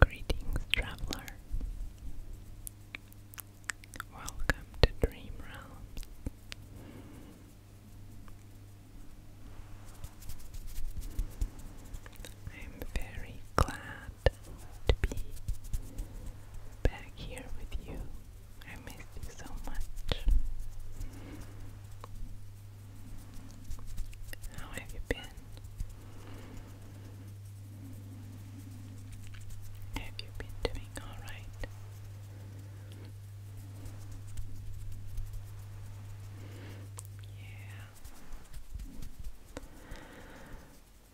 Greetings, traveler. Welcome to Dream Realms. I am very glad to be back here with you. I missed you so much. How have you been? Have you been doing alright? Yeah,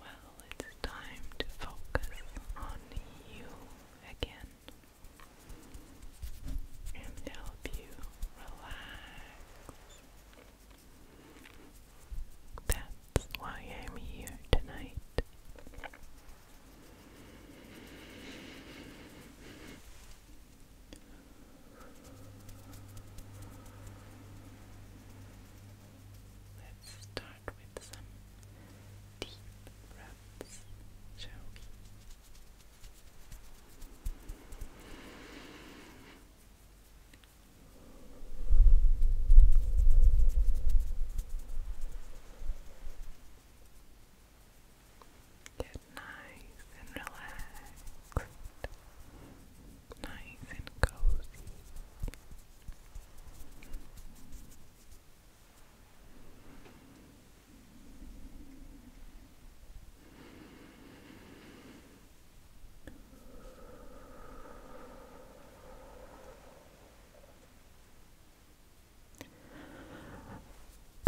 well, it's time to focus on you again and help you relax. That's why I'm here tonight. Let's start with some deep breaths, shall Get nice and relaxed, nice and cozy.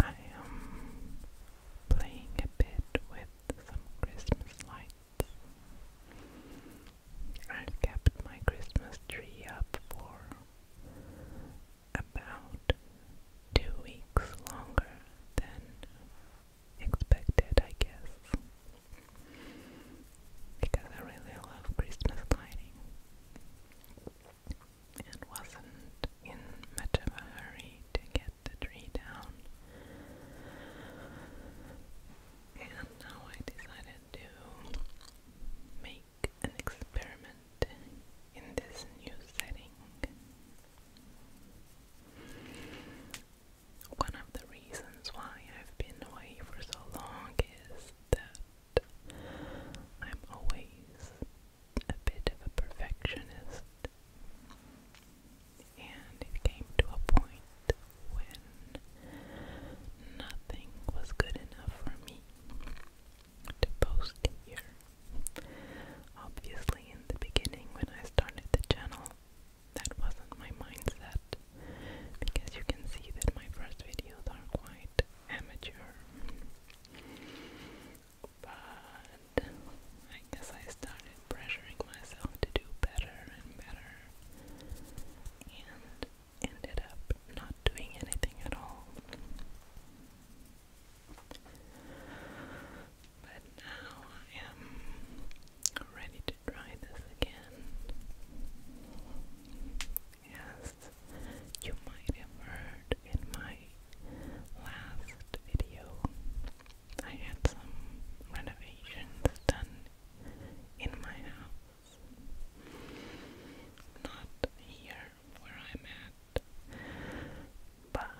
I am playing a bit with some Christmas lights. I've kept my Christmas tree up for about two weeks longer than expected, I guess, because I really love Christmas lighting and wasn't in much of a hurry to get the tree down. And now I decided to make an experiment in this new setting. One of the reasons why I've been away for so long is that I'm always a bit of a perfectionist and it came to a point when nothing was good enough for me to post here. Obviously, in the beginning, when I started the channel, that wasn't my mindset because you can see that my first videos are quite amateur. But I guess I started pressuring myself to do better and better and ended up not doing anything at all. But now I am ready to try this again. Yes, you might have heard in my last video I had some renovations done in my house. Not here where I'm at, but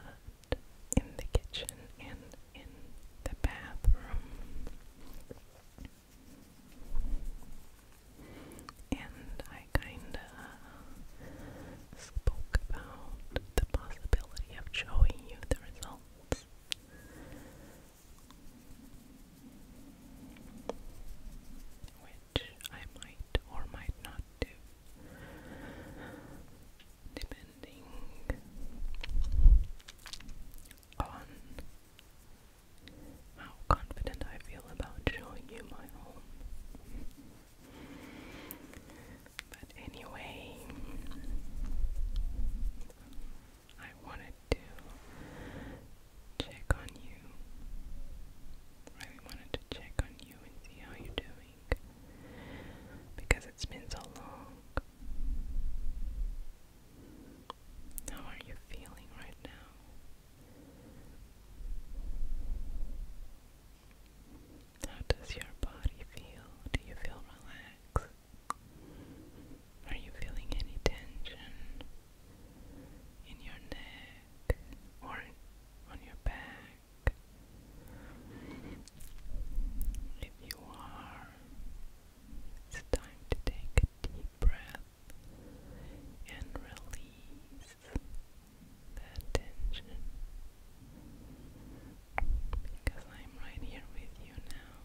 in the kitchen and in the bathroom. And I kinda spoke about the possibility of showing you the results. Which I might or might not do, depending on how confident I feel about showing you my home. But anyway, I wanted to check on you. Really wanted to check on you and see how you're doing. Because it's been so long. How are you feeling right now? How does your body feel? Do you feel relaxed? Are you feeling any tension in your neck or on your back? If you are, it's time to take a deep breath and release that tension because I'm right here with you now.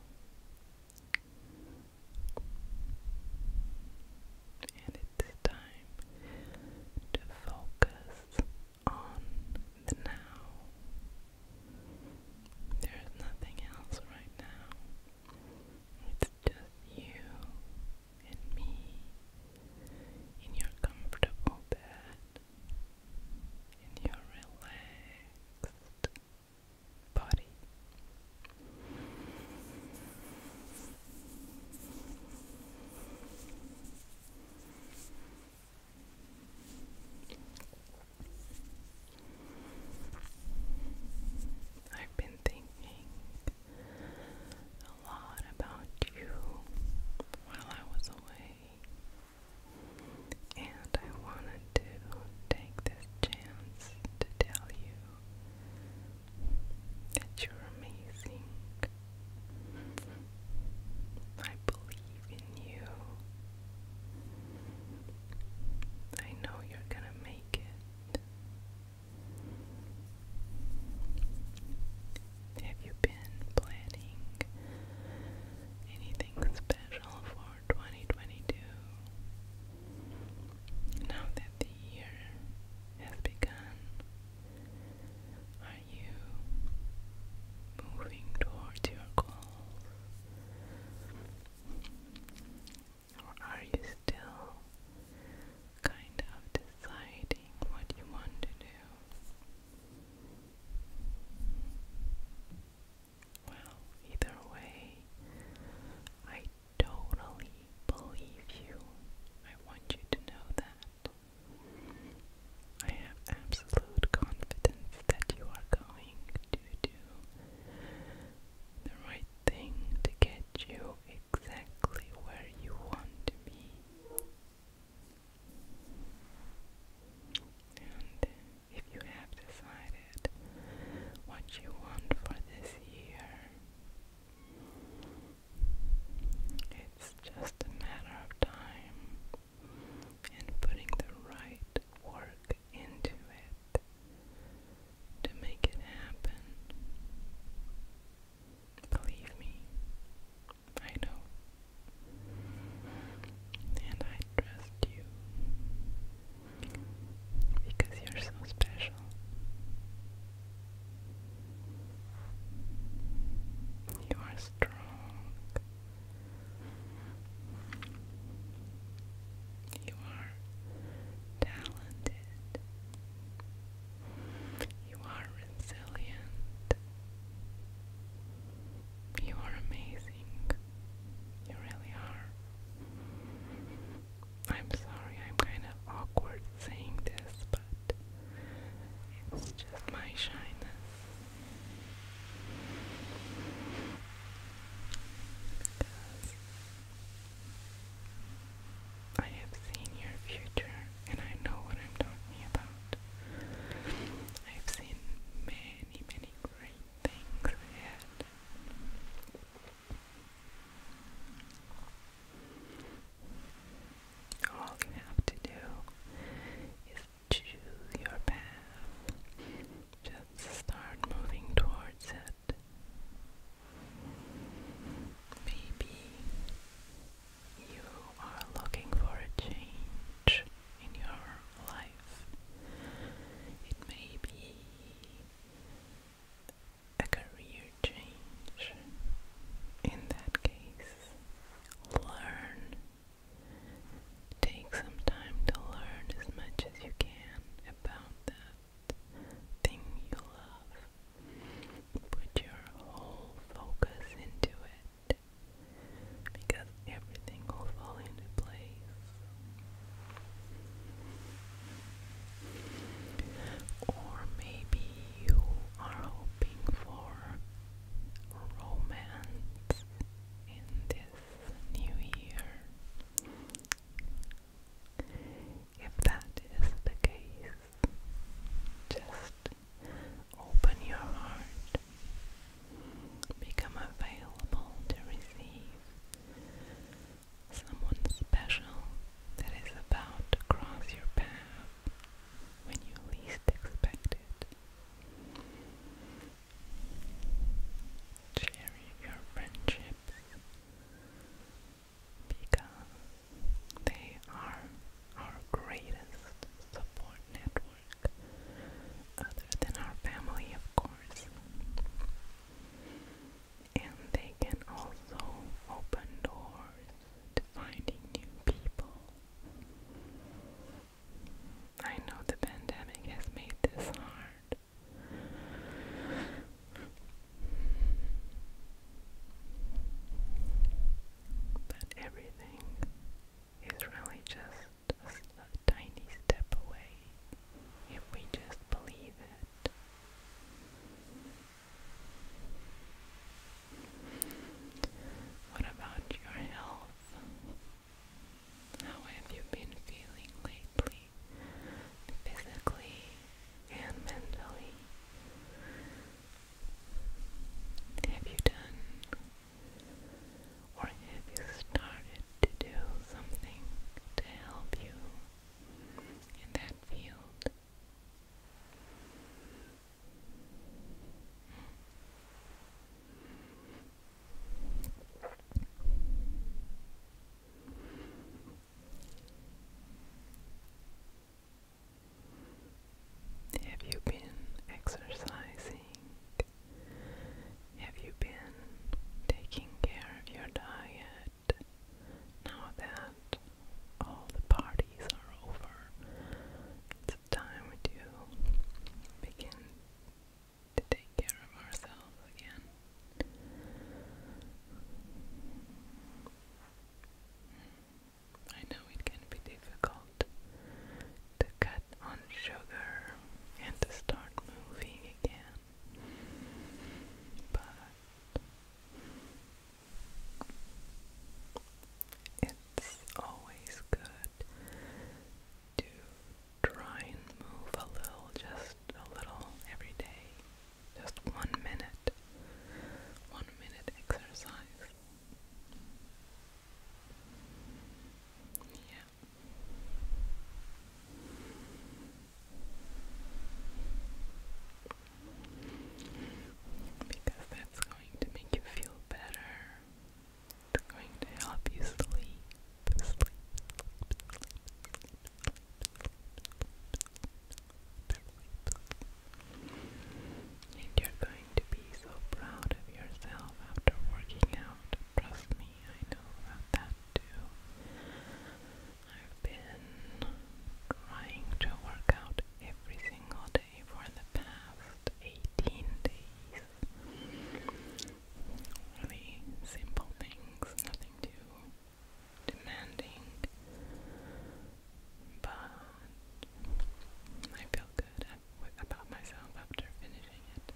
And it's time to focus on the now. There's nothing else right now. It's just you and me in your comfortable bed in your relaxed body. I've been thinking a lot about you while I was away, and I wanted to take this chance to tell you that you're amazing. I believe in you. I know you're gonna make it. Have you been planning anything special for 2022? Now that the year has begun, are you moving towards your goals? Or are you still kind of deciding what you want to do. Well, either way, I totally believe you. I want you to know that. I have absolute confidence that you are going to do the right thing to get you exactly where you want to be if you have decided what you want for this year, it's just a matter of time and putting the right work into it to make it happen. Believe me, I know. And I trust you because you're so special. You are strong. You are talented. You are resilient. You are amazing. You really are. I'm sorry, I'm kind of awkward saying this, but it's just my shyness. I have seen your future and I know what I'm talking about. I've seen many, many great things ahead. All you have to do is choose your path. Just start moving towards it. Maybe you are looking for a change in your life. It may be a career change. In that case, learn. Take some time to learn as much as you can about that thing you love Put your whole focus into it because everything will fall into place. Or maybe you are hoping for romance in this new year. If that is the case, just open your heart. Become available to receive someone special that is about to cross your path when you least expect it. Cherish your friendships because they are our greatest support network, other than our family, of course. And they can also open doors to finding new people. I know the pandemic has made this hard. But everything is really just a, tiny step away if we just believe it. What about your health? How have you been feeling lately? Physically, and mentally. Have you done or have you started to do something to help you in that field? Have you been exercising? Have you been taking care of your diet? Now that all the parties are over, it's time to begin to take care of ourselves again. I know it can be difficult to cut on sugar and to start moving again, but it's always good to try and move a little, just a little every day. Just one minute, one minute exercise. Yeah. Because that's going to make you feel better. It's going to help you sleep. Sleep. sleep, and you're going to be so proud of yourself after working out. Trust me, I know about that too. I've been trying to work out every single day for the past 18 days. Really simple things, nothing too demanding, but I feel good about myself after finishing it.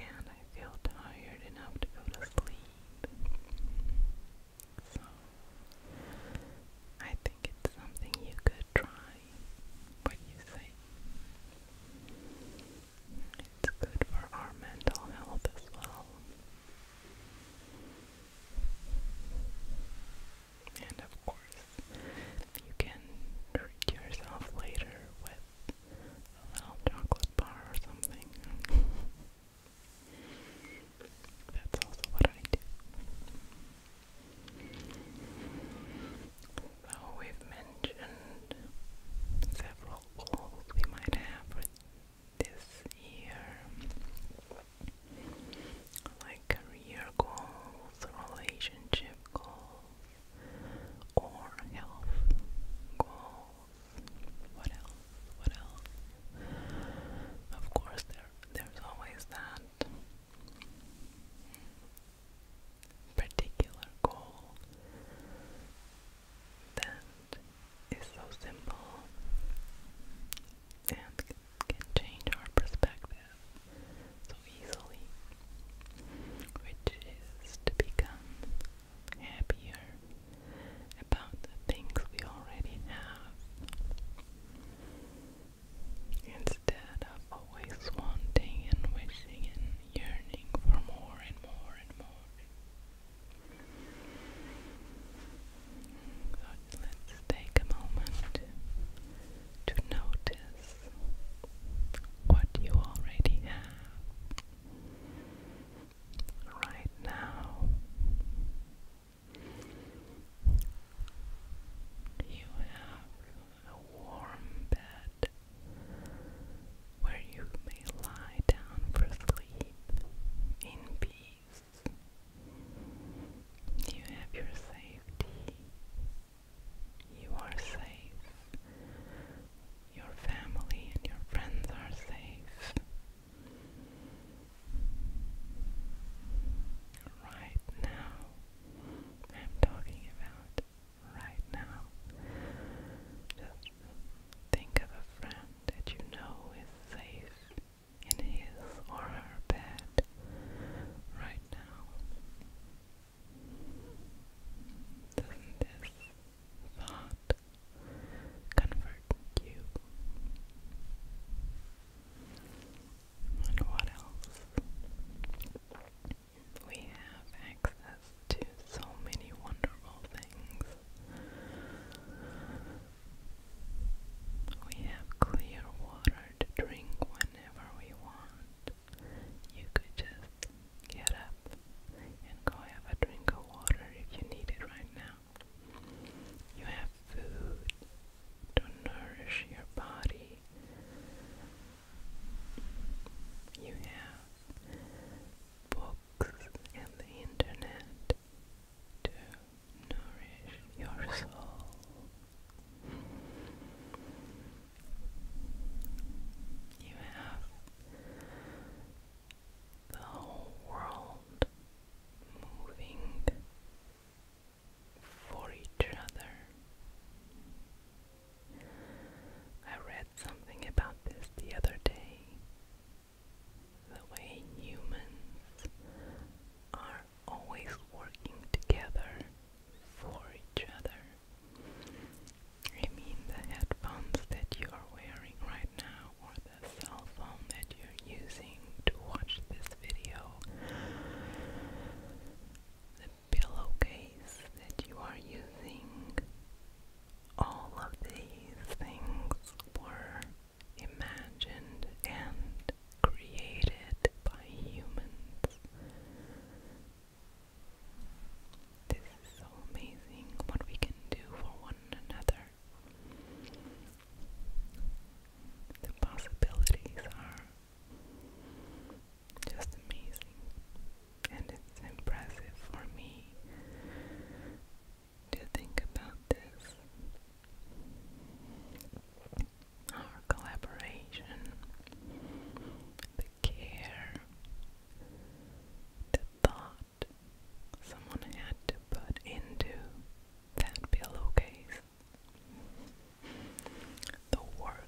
And I feel tired enough to go to sleep. So, I think it's something you could try. What do you say? It's good for our mental health as well. And of course, you can treat yourself later with a little chocolate bar or something. That's also what I do. So we've mentioned several goals we might have this year, like career goals, relationship goals, or health goals. What else? What else? Of course, there there's always that particular goal that is so simple and can change our perspective so easily, which is to become happier about the things we already have instead of always wanting and wishing and yearning for more and more and more. So let's take a moment to notice what you already have right now. You have a warm bed, where you may lie down for sleep in peace. You have your safety. You are safe. Your family and your friends are safe. Right now, I'm talking about right now. Just think of a friend that you know is safe in his or her bed right now. Doesn't this thought comfort you? And what else? We have access access to so many wonderful things. We have clear water to drink whenever we want. You could just get up and go have a drink of water if you need it right now. You have food to nourish your body. You have books books and the internet to nourish your soul. You have the whole world moving for each other. I something about this the other day. The way humans are always working together for each other. I mean, the headphones that you are wearing right now, or the cell phone that you're using to watch this video, the pillowcase that you are using, all of these things were imagined and created by humans. This is so amazing what we can do for one another. The possibilities are just amazing and it's impressive for me to think about this. Our collaboration, the care, the thought someone had to put into that pillowcase, the work,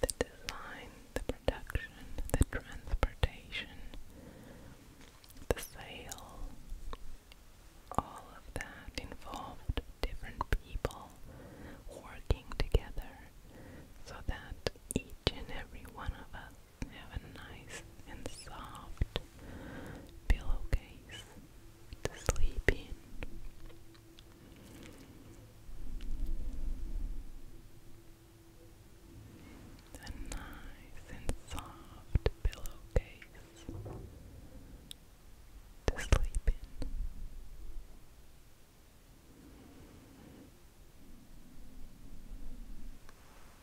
the design, the production, the transportation, the sale, all of that involved different people working together so that each and every one of us have a nice and soft pillowcase to sleep in a nice and soft pillowcase to sleep in.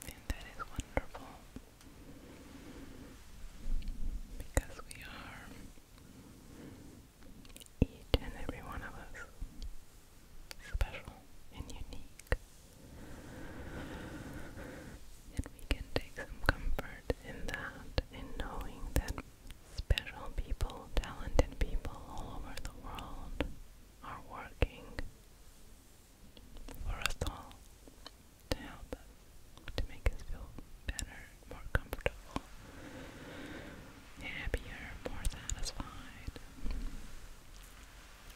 And that is wonderful because we are, each and every one of us, special and unique. And we can take some comfort in that, in knowing that special people, talented people all over the world are working for us all to help us, to make us feel better, more comfortable, happier, more satisfied.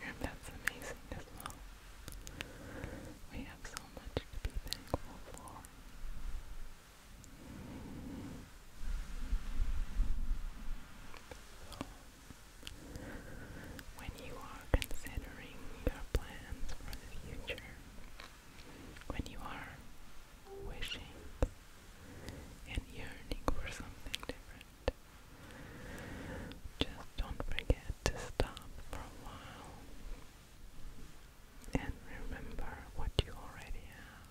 And that's amazing as well. We have so much to be thankful for. So, when you are considering your plans for the future, when you are wishing and yearning for something different. Just don't forget to stop for a while and remember what you already have.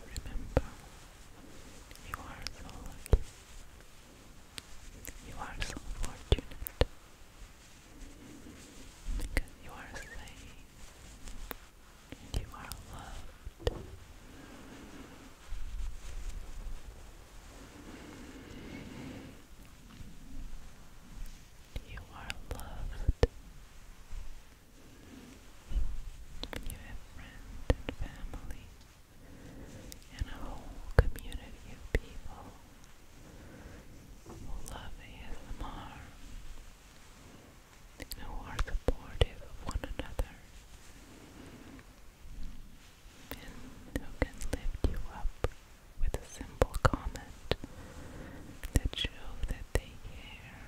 Remember, you are so You are so fortunate because you are safe you are loved. You are loved. You have friends and family and a whole community of people who love ASMR who are supportive of one another and who can lift you up with a simple comment that shows that they care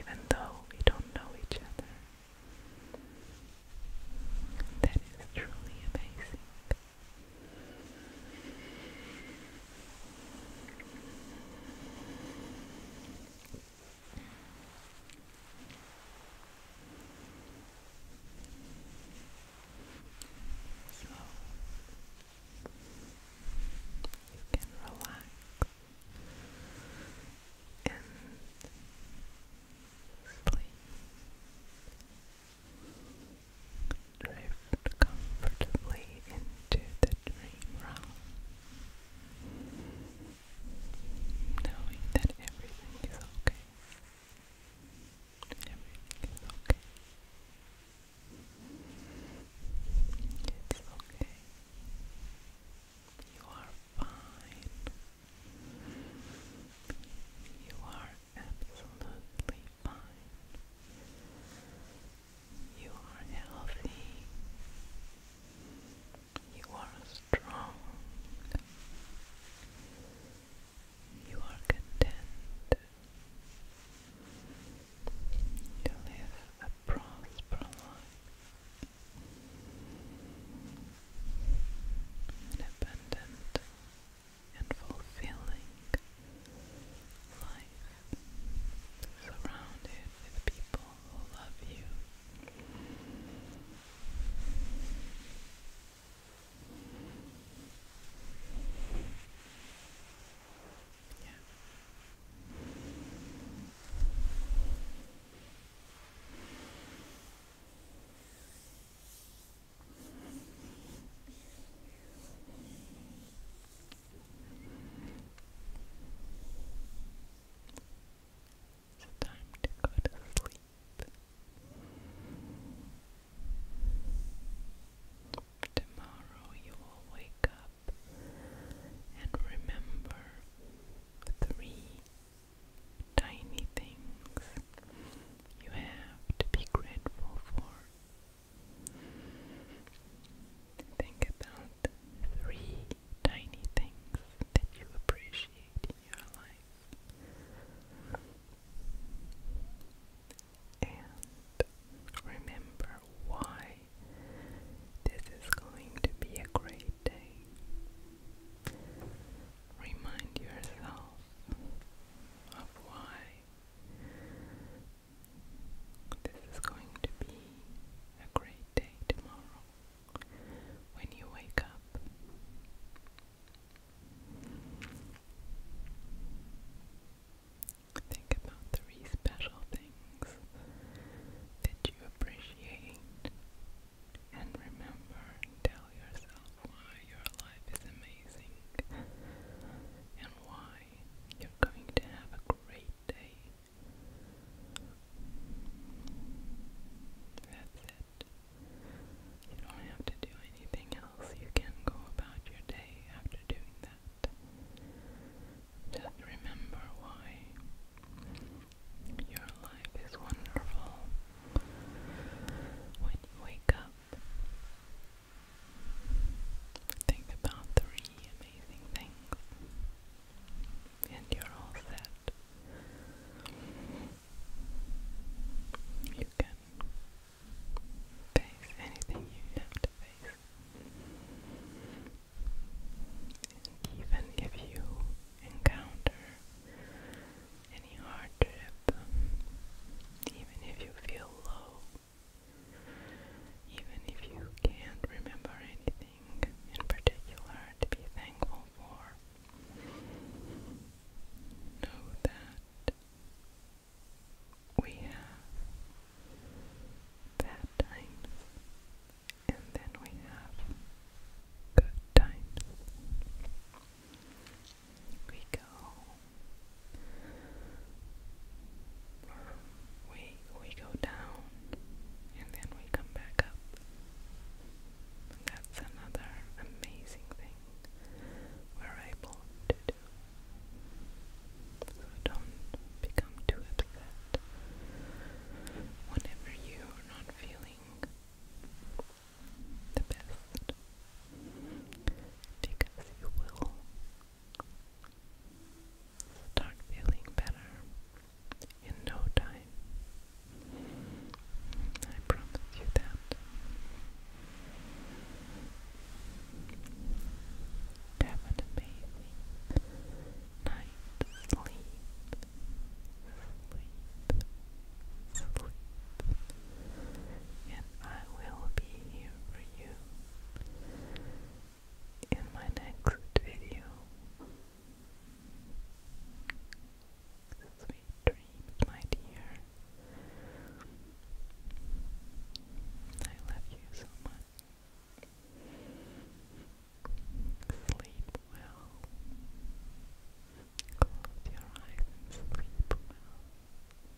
even though we don't know each other. That is truly amazing. So you can relax and sleep. Drift comfortably into the dream realm knowing that everything is okay. Everything is okay. It's okay. You are fine. You are absolutely fine. You are healthy. You are strong. You are content. You live a prosperous life. and fulfilling life surrounded with people who love you. Yeah. It's time to go to sleep. Tomorrow you will wake up and remember three tiny things you have to be grateful for Think about three tiny things that you appreciate in your life. And remember why this is going to be a great day. Remind yourself of why this is going to be a great day tomorrow when you wake up. Think about three special things that you appreciate and remember tell yourself why your life is amazing and why you're going to have a great day. That's it. You don't have to do anything else. You can go about your day after doing that. Just remember why your life is wonderful. When you wake up, Think about three amazing things, and you're all set. You can face anything you have to face. And even if you encounter any hardship, even if you feel low, even if you can't remember anything in particular to be thankful for, know that we have bad times and then we have good times. We go we we go down and then we come back up. that's another amazing thing we're able to do. So don't become too upset whenever you're not feeling the best because you will Start feeling better in no time. I promise you that. Have an amazing night. Sleep. Sleep. Sleep. And I will be here for you in my next video. Sweet dreams, my dear. I love you so much. Sleep well. Close your eyes and sleep well.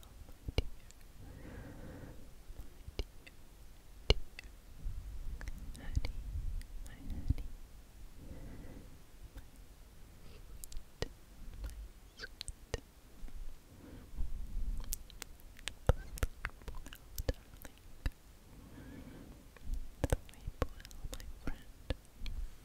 my dear, my dear, dear honey, my honey, my sweet, my sweet. Sleep well, darling. Sleep well, my friend. Sleep well,